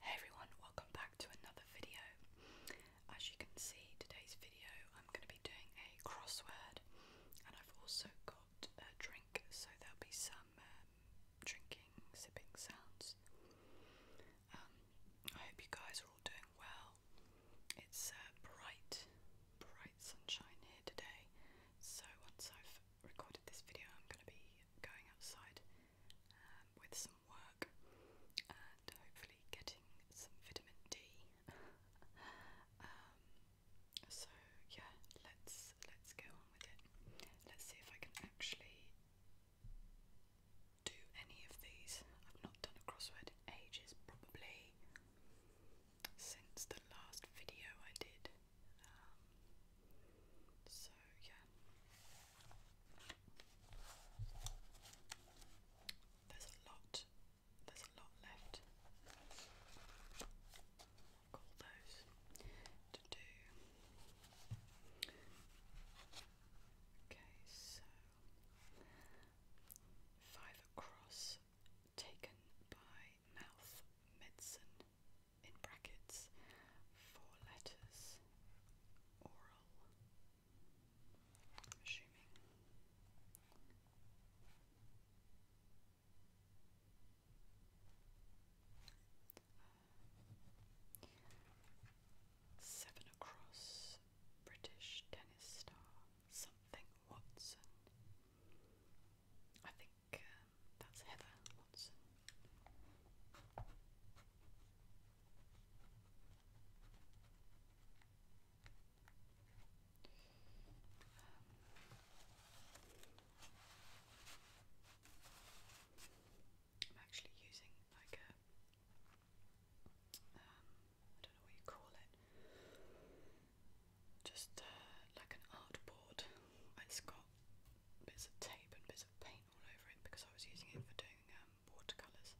Hey everyone, welcome back to another video. As you can see, today's video I'm going to be doing a crossword, and I've also got uh, drink, so there'll be some um, drinking, sipping sounds. Um, I hope you guys are all doing well. It's uh, bright, bright sunshine here today. So once I've recorded this video, I'm going to be going outside um, with some work and hopefully getting some vitamin D. So yeah, let's let's go on with it. Let's see if I can actually do any of these. I've not done a crossword ages, probably since the last video I did. Um, so yeah. There's a lot there's a lot left. i those to do. Okay, so five across taken by mouth medicine in brackets four letters oral assuming Seven across, British tennis star, something Watson. I think um, that's Heather Watson. I'm actually using like a um, don't know what you call it. Just uh, like an art board. It's got bits of tape and bits of paint all over it because I was using it for doing um, watercolours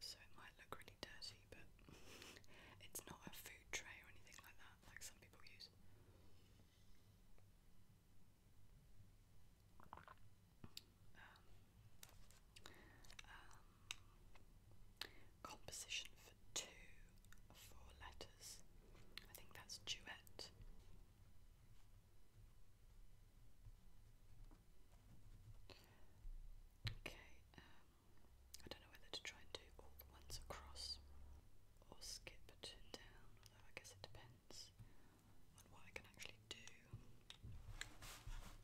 so it might look really dirty, but it's not a food tray or anything like that, like some people use. Um, um, composition for two, four letters. I think that's duet. Okay, um, I don't know whether to try and do all the ones across or skip down, although I guess it depends on what I can actually do. Um, profit,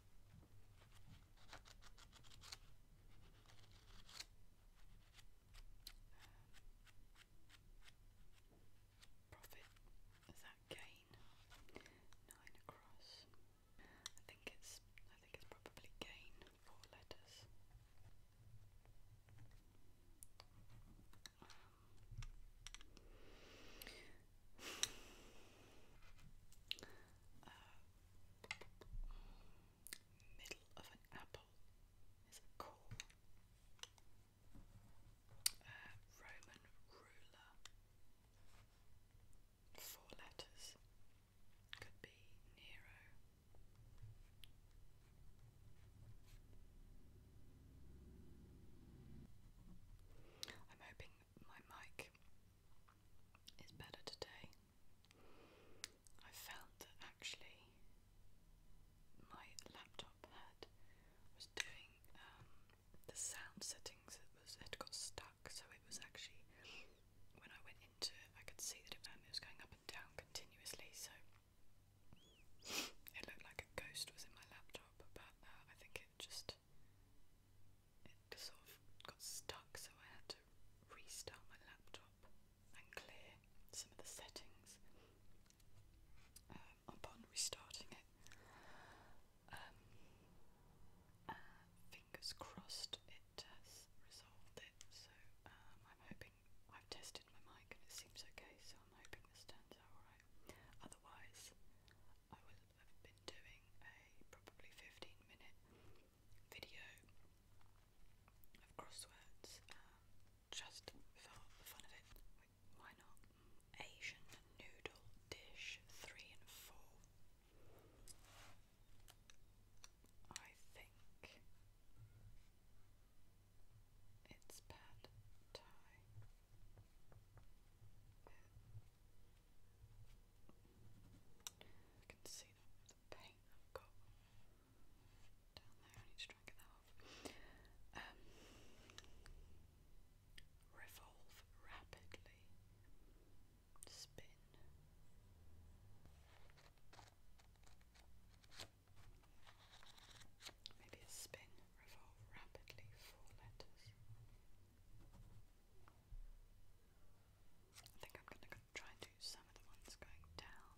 is that gain? Nine across. I think it's I think it's probably gain four letters. Um, middle of an apple is a core. Uh, Roman ruler four letters could be Nero. I'm hoping my mic is better today. I found that actually my laptop had was doing um, the sound settings it was had got stuck, so it was actually when I went into it, I could see that um, it, was going up and down continuously. So it looked like a ghost was in my laptop, About that uh, I think it just it sort of got stuck, so I had to restart my laptop and clear some of the settings. Um, upon restarting it, fingers crossed it has resolved it, so um, I'm hoping I've tested my mic and it seems okay, so I'm hoping this turns out alright. Otherwise, I will have been doing a probably 15 minute video of crosswords um, just for the fun of it. why not? Asian noodle dish three and four. I think it's pad I can see the paint I've got down there. I need to try and off. Um, revolve rapidly, spin. Maybe a spin, revolve rapidly, four letters. I think I'm going to try and do some of the ones going down.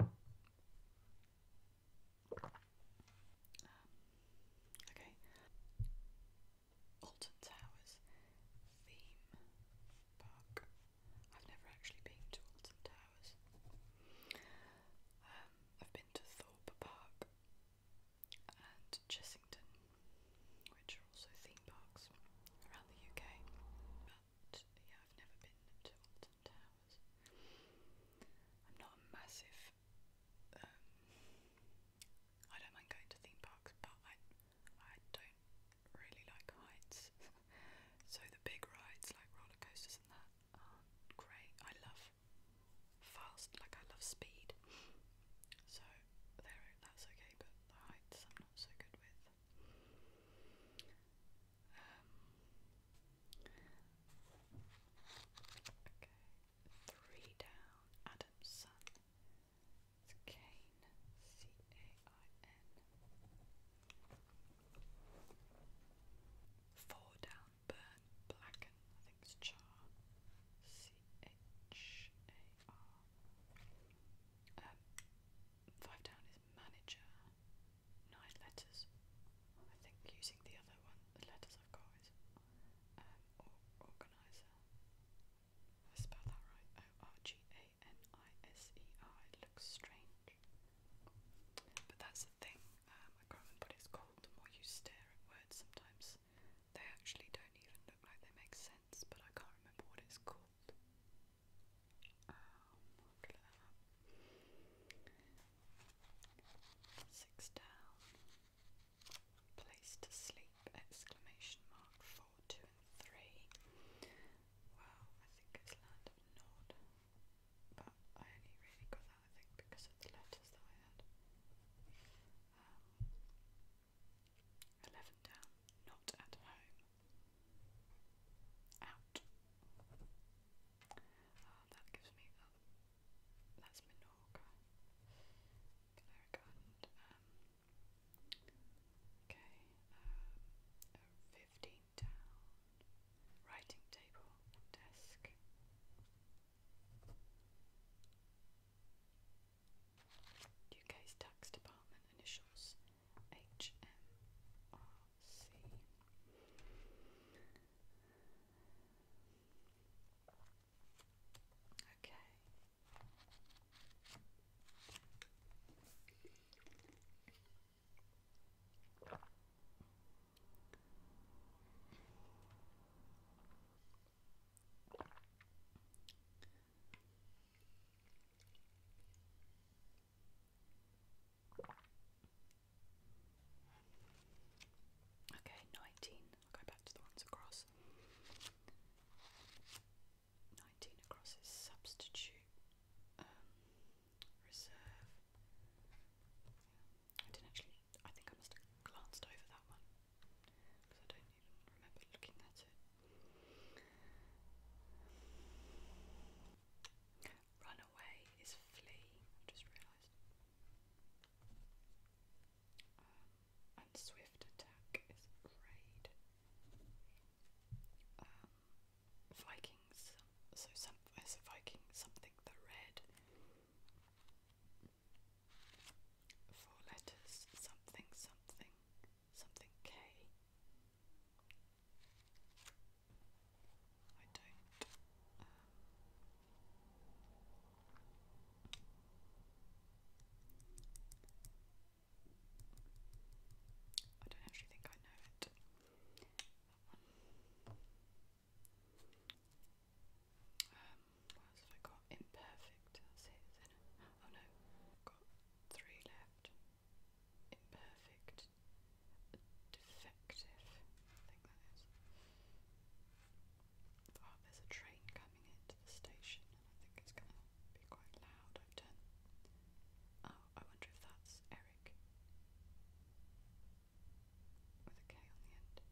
Um, okay. Alton Towers theme park. I've never actually been to Alton Towers. Um, I've been to Thorpe Park and Chessington, which are also theme theme parks around the UK, but yeah, I've never been to Alton Towers. I'm not massive. Um, I don't mind going to theme parks, but I I don't really like heights. so the big rides like roller coasters and that aren't great. I love fast, like I love speed. So there, that's okay. But the heights, not so um, three down. Adam's It's Cain. C A I N. Four down. Burn. Blacken. I think it's char. C H A R. Um, five down is manager. Nine letters. I think using the other one, the letters I've got is um, organizer. I that right. O R G A N I S E R. looks strange, but that's the thing. Um, I can it's called. The more you stare at words, sometimes they actually don't even look like they make sense but I can't remember what it's called. Um, Six down. Place to sleep! Exclamation mark. Four, two, and three. Wow, I think it's Land of Nod, but I only really got that I think because of the letters that I had. Um, Eleven down. Not at home. Out. Ah, that gives me That's Minorca. Canary Garden. Um, okay. Uh, fifteen down. Writing table. Desk. UK's Tax Department initials HMRC. Okay. Okay, nineteen. I'll go back to the ones across. Nineteen across is substitute um, reserve. I didn't actually. I think I must have glanced over that one because I Run away is flee, i just realised. Um, and swift attack is raid. Um, Vikings, so some, as a something the red four letters something something something K. I don't. Um, I don't actually think I know it. Um, what else have I got? Imperfect, Oh no, I've got three left. Imperfect, defective, I think that is. Oh, there's a train coming into the station and I think it's gonna be quite loud. I've Oh, I wonder if that's Eric with a K on the end.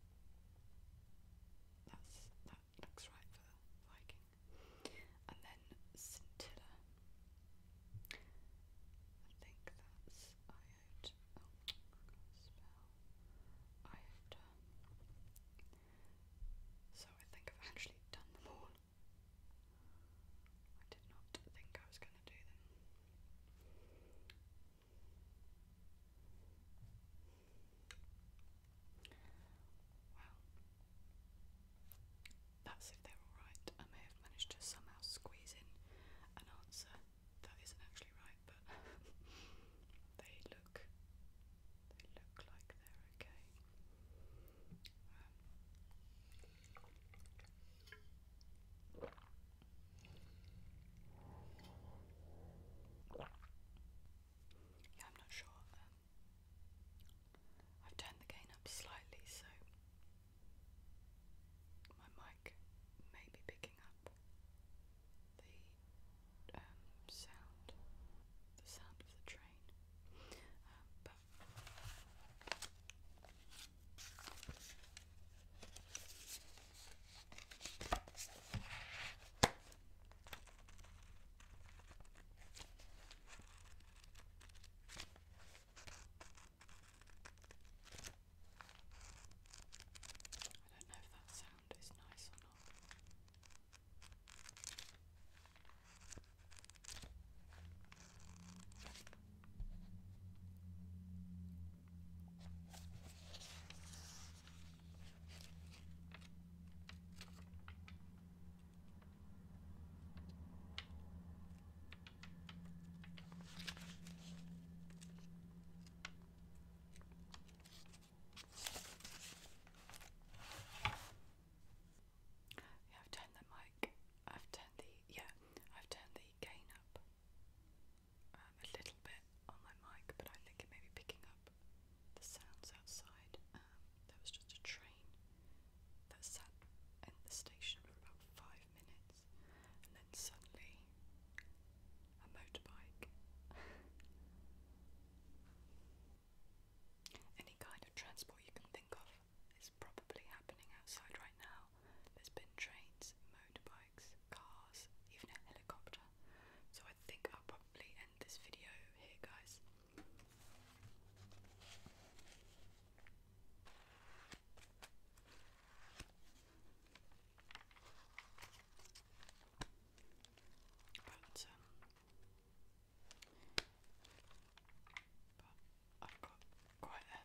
That's that looks right for Viking. And then Scintilla. I think that's Iota. Oh, spell Iota. So I think I've actually done them all. I did not think I was going to do them that's if they're alright. I may have managed to somehow squeeze in an answer that isn't actually right, but they look they look like they're okay. Um, yeah, I'm not sure. Um, I've turned the gain up slightly, so my mic may be picking up the um, sound, the sound of the train. Um, but I don't know if that sound is nice or not. Yeah, I've turned the mic. I've turned the yeah. I've turned the gain up um, a little bit on my mic, but I think it may be picking up the sounds outside. Um, was just a train that sat in the station for about five minutes, and then suddenly a motorbike. Any kind of transport you can think of is probably happening outside right now. There's been trains, motorbikes, cars, even a helicopter. So I think I'll probably end this video here, guys. But, um, but I've got quite a,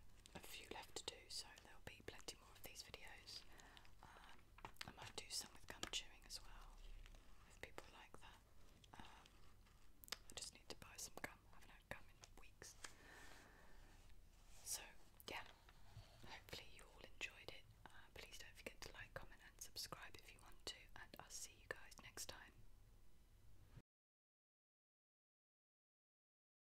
few left to do, so there'll be plenty more of these videos. Um, I might do some with gum chewing as well, if people like that. Um, I just need to buy some gum. haven't had gum in weeks. So, yeah, hopefully you all enjoyed it. Uh, please don't forget to like, comment, and subscribe if you want to, and I'll see you guys next time.